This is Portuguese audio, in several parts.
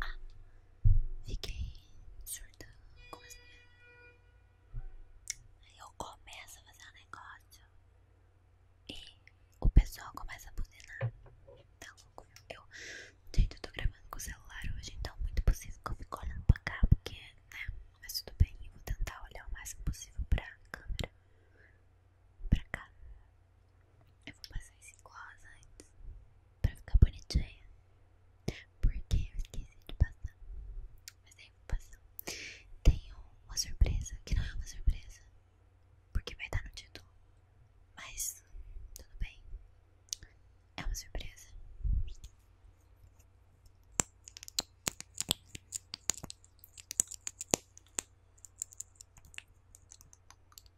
Ah, fiquei surtando com as Aí eu começo a fazer um negócio e o pessoal começa a buzinar. Tá louco? Eu, gente, eu tô gravando com o celular hoje, então é muito possível que eu fique olhando pra cá, porque, né? Mas tudo bem, eu vou tentar olhar o máximo possível pra câmera pra cá. Eu vou passar esse gloss antes pra ficar bonitinha. Porque eu esqueci de passar. Mas aí eu vou passar. Tenho uma surpresa, que não é uma surpresa, porque vai estar no título. Mas tudo bem. É uma surpresa.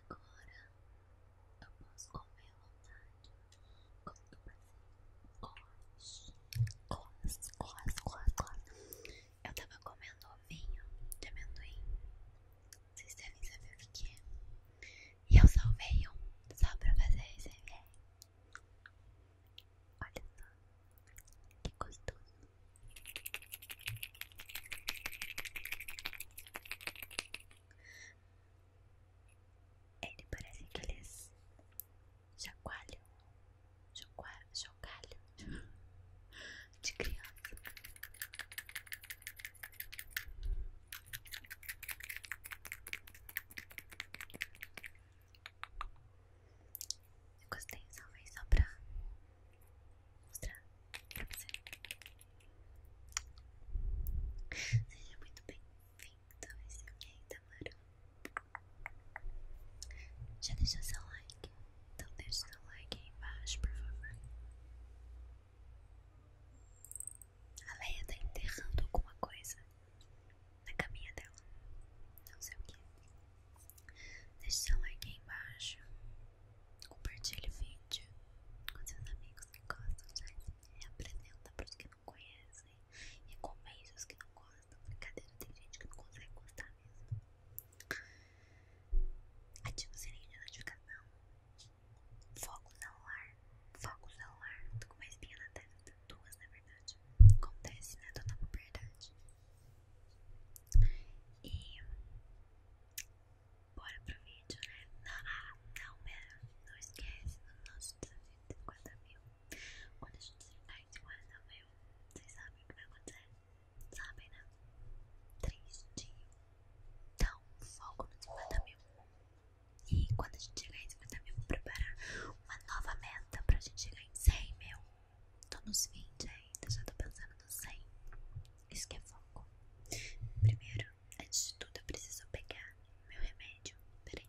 agora eu posso comer à vontade. Quando passei colas, colas, colas, colas, Eu tava comendo vinho de amendoim. Vocês devem saber o que, é. E eu salvei um só pra fazer esse vídeo. Olha só, que gostoso. Ele parece aqueles jagualho, jagualho, jagualho de criança. Eu gostei, salvei só pra mostrar pra você. Seja muito bem-vindo a esse ok, Tamara. Já deixou seu like? Então deixa seu like aí embaixo, por favor. A Leia tá enterrando alguma coisa na caminha dela. Não sei o que. Deixe seu like aí embaixo. Compartilhe o vídeo com seus amigos que gostam de ASMR. Apresenta para os que não conhecem. e Recomende os que não gostam. Brincadeira, tem gente que não consegue gostar mesmo. Ativa o sininho de notificação. Foco no ar Foco no ar Tô com uma espinha na testa. Duas, na verdade. Acontece, né? Tô na puberdade. E bora pro vídeo, né? Não, ah, não, pera, não esquece do nosso desafio de 50 mil. Quando a gente chegar em 50 mil, vocês sabem o que vai acontecer? Sabem, né? Tristinho. Então, foco nos 50 mil. E quando a gente chegar em 50 mil, vou preparar uma nova meta pra gente chegar em 100 mil. Tô nos vinte ainda, já tô pensando no cem. Isso que é foco. Primeiro, antes de tudo, eu preciso pegar meu remédio. Peraí.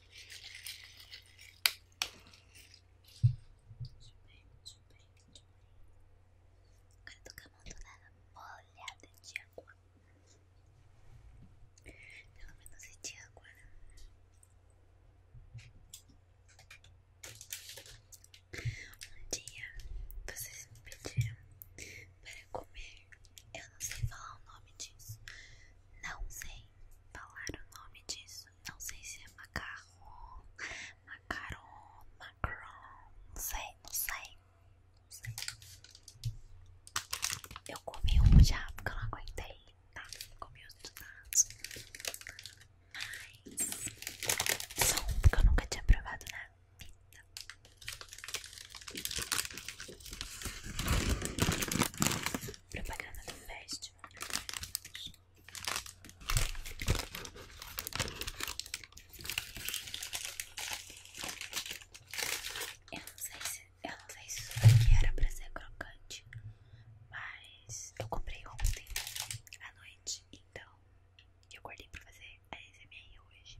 Agora eu tô a bolha de água. Pelo menos é de água, Um dia vocês me pediram para comer eu não sei falar o nome disso. Não sei falar o nome disso. Não sei se é macarrão, macarrão, macarrão. Não sei, não sei. Não sei. Eu comi um já porque eu não aguentei. Tá, comi outro donados. Mas só um porque eu nunca tinha provado na vida. Propaganda do festival. Eu não sei se, eu não sei se era pra ser crocante, mas eu comprei ontem à noite, então eu guardei pra fazer a SMR hoje.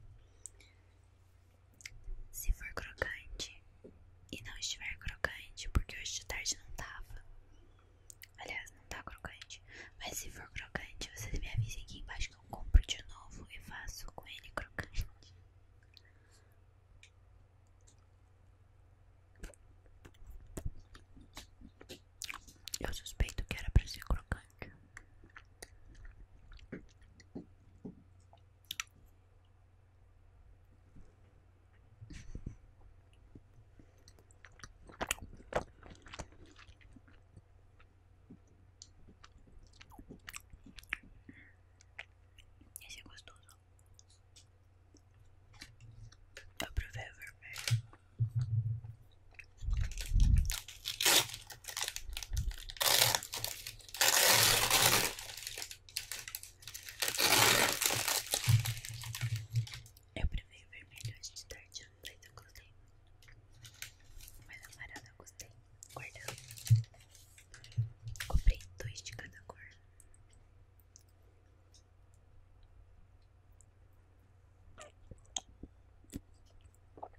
Se for crocante e não estiver crocante, porque hoje de tarde não tava. Aliás, não tá crocante. Mas se for crocante, vocês me avisem aqui embaixo que eu compro de novo e faço com ele crocante. Eu suspeito que era pra ser crocante. Esse é gostoso. Eu provei o eu prefiro vermelho hoje de tarde, mas eu gostei. Mas amarelo eu gostei. Guardando. Comprei dois de cada cor.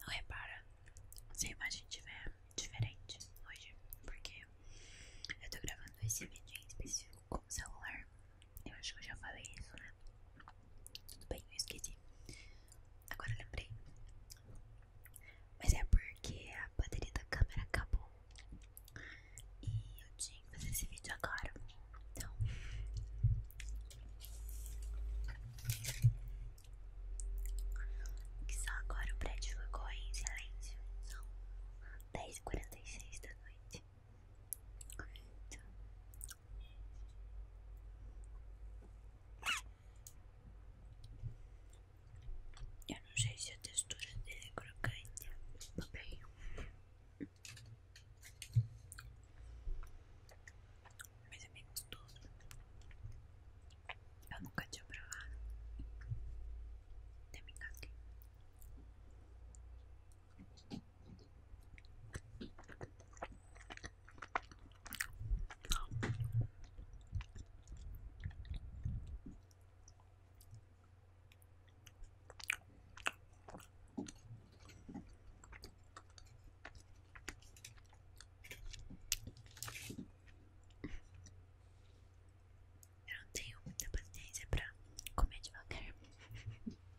Não repara se a imagem estiver diferente hoje, porque eu tô gravando esse vídeo em específico com celular eu acho que eu já falei isso, né? Tudo bem, eu esqueci. Agora eu lembrei. Mas é porque a bateria da câmera acabou. E eu tinha que fazer esse vídeo agora. Então. Que só agora o prédio ficou em silêncio. São 10h46 da noite. Então, Ya no sé si textura de croquete. Okay. Mis amigos todos. Yo nunca he probado de mi caqui. Eu não tenho muita paciência para comer de qualquer.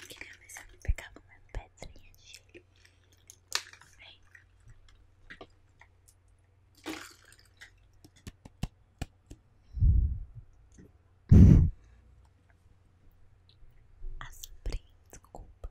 Queria ver pegar uma pedrinha de gelo. Vem. Assombrinho, desculpa.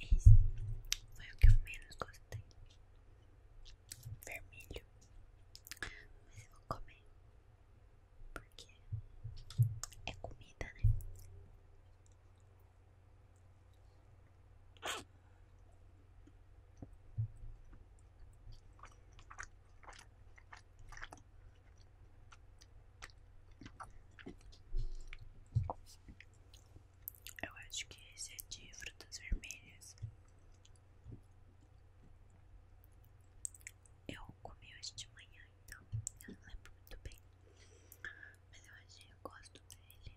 Esse foi o que eu menos gostei. Vermelho. Mas eu vou comer. Porque é comida, né? Eu acho que esse é de frutas vermelhas. Eu comi hoje de manhã, então eu não lembro muito bem. Mas eu achei, eu gosto dele.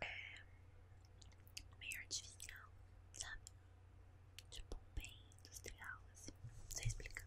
É meio artificial, sabe? Tipo, bem industrial, assim. Não sei explicar.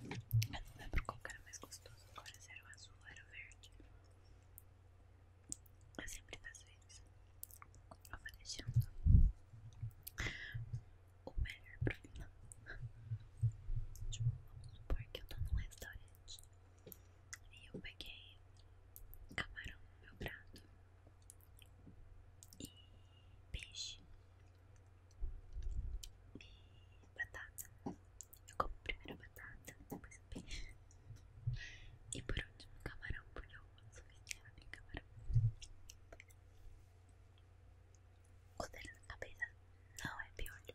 Eu não lembro qual era mais gostoso agora, se é era o azul ou era o verde. Eu sempre das vezes eu vou deixando o melhor pro final. Tipo, vamos supor que eu tô num restaurante e eu peguei camarão no meu prato e peixe. E batata. Eu como primeiro batata, depois E por último, camarão, porque eu gosto de camarão. O dele na cabeça não é piolho.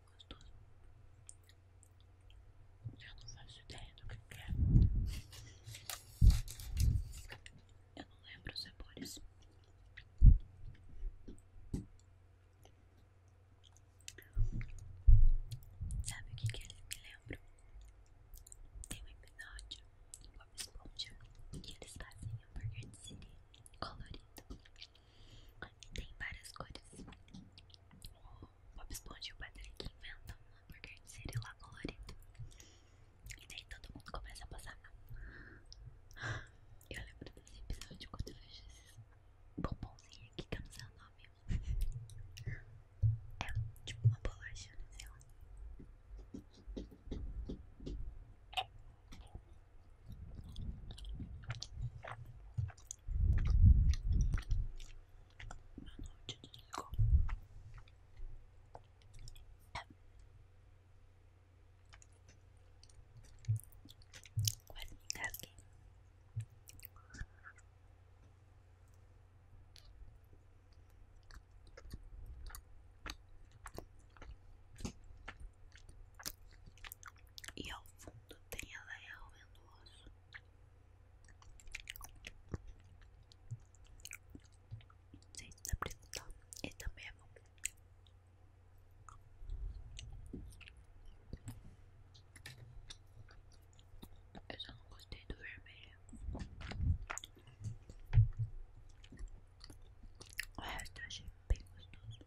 gostoso. Eu não faço ideia do que é. Eu não lembro os sabores. Sabe o que, que eles me lembram? Tem um episódio do Bob Esponja que eles fazem hambúrguer de siri colorido. Tem várias cores. Bob Esponja e o Patrick inventam um hambúrguer de cereal E daí todo mundo começa a passar mal. Eu lembro desse episódio quando eu vejo esses bombonzinhos aqui, que eu não sei o nome. É tipo uma bolacha, não né, sei lá. E ao fundo tem a Leia roendo o osso. Não sei se dá pra também é bom. Eu só não gostei do vermelho. O resto eu achei bem gostoso.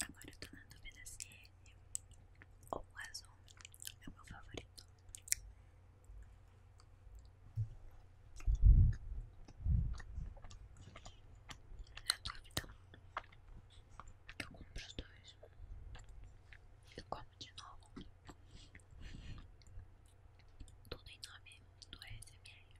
Agora eu tô na dúvida se é ou o azul é o meu favorito. Na dúvida, eu compro os dois. Eu como de novo. Tudo em nome do SMR.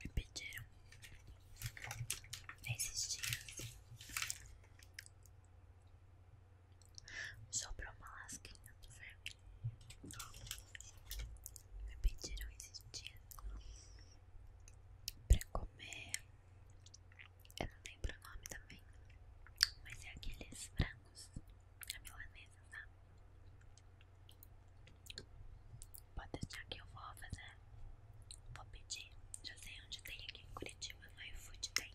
me pediram nesses dias sobrou uma lasquinha do verme. Me pediram esses dias pra comer. Eu não lembro o nome também, mas é aqueles frangos a milanesa, tá? Pode estar que eu vou fazer. Vou pedir. Já sei onde tem aqui em Curitiba. No iFood tem.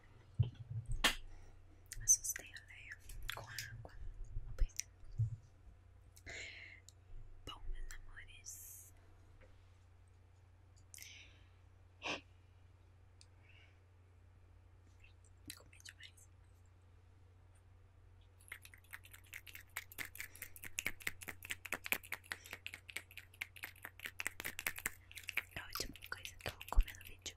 Assustei né? a Leia com água. Pois é. Bom, meus amores. Comi demais. É a última coisa que eu vídeo.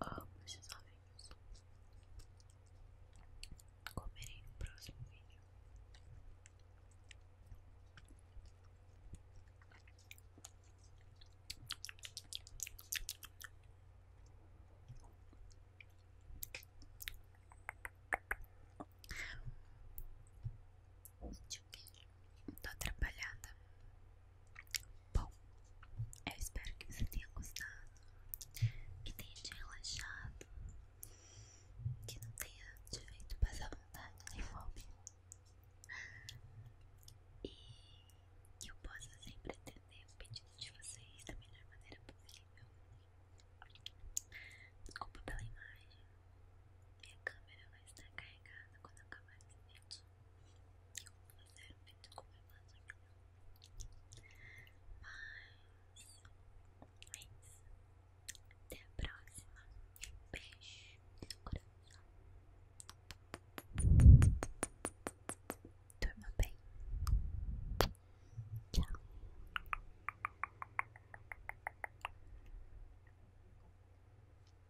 Amo esses ovinhos. Comerei no próximo vídeo. Tô atrapalhada. Bom, eu espero que você tenha gostado, que tenha te relaxado, que não tenha te feito passar vontade nem fome. E que eu possa sempre atender o pedido de vocês da melhor maneira possível. Desculpa pela imagem. Minha câmera vai estar carregada quando acabar esse vídeo eu não zero medo como eu faço mas é isso até a próxima beijo no durma bem tchau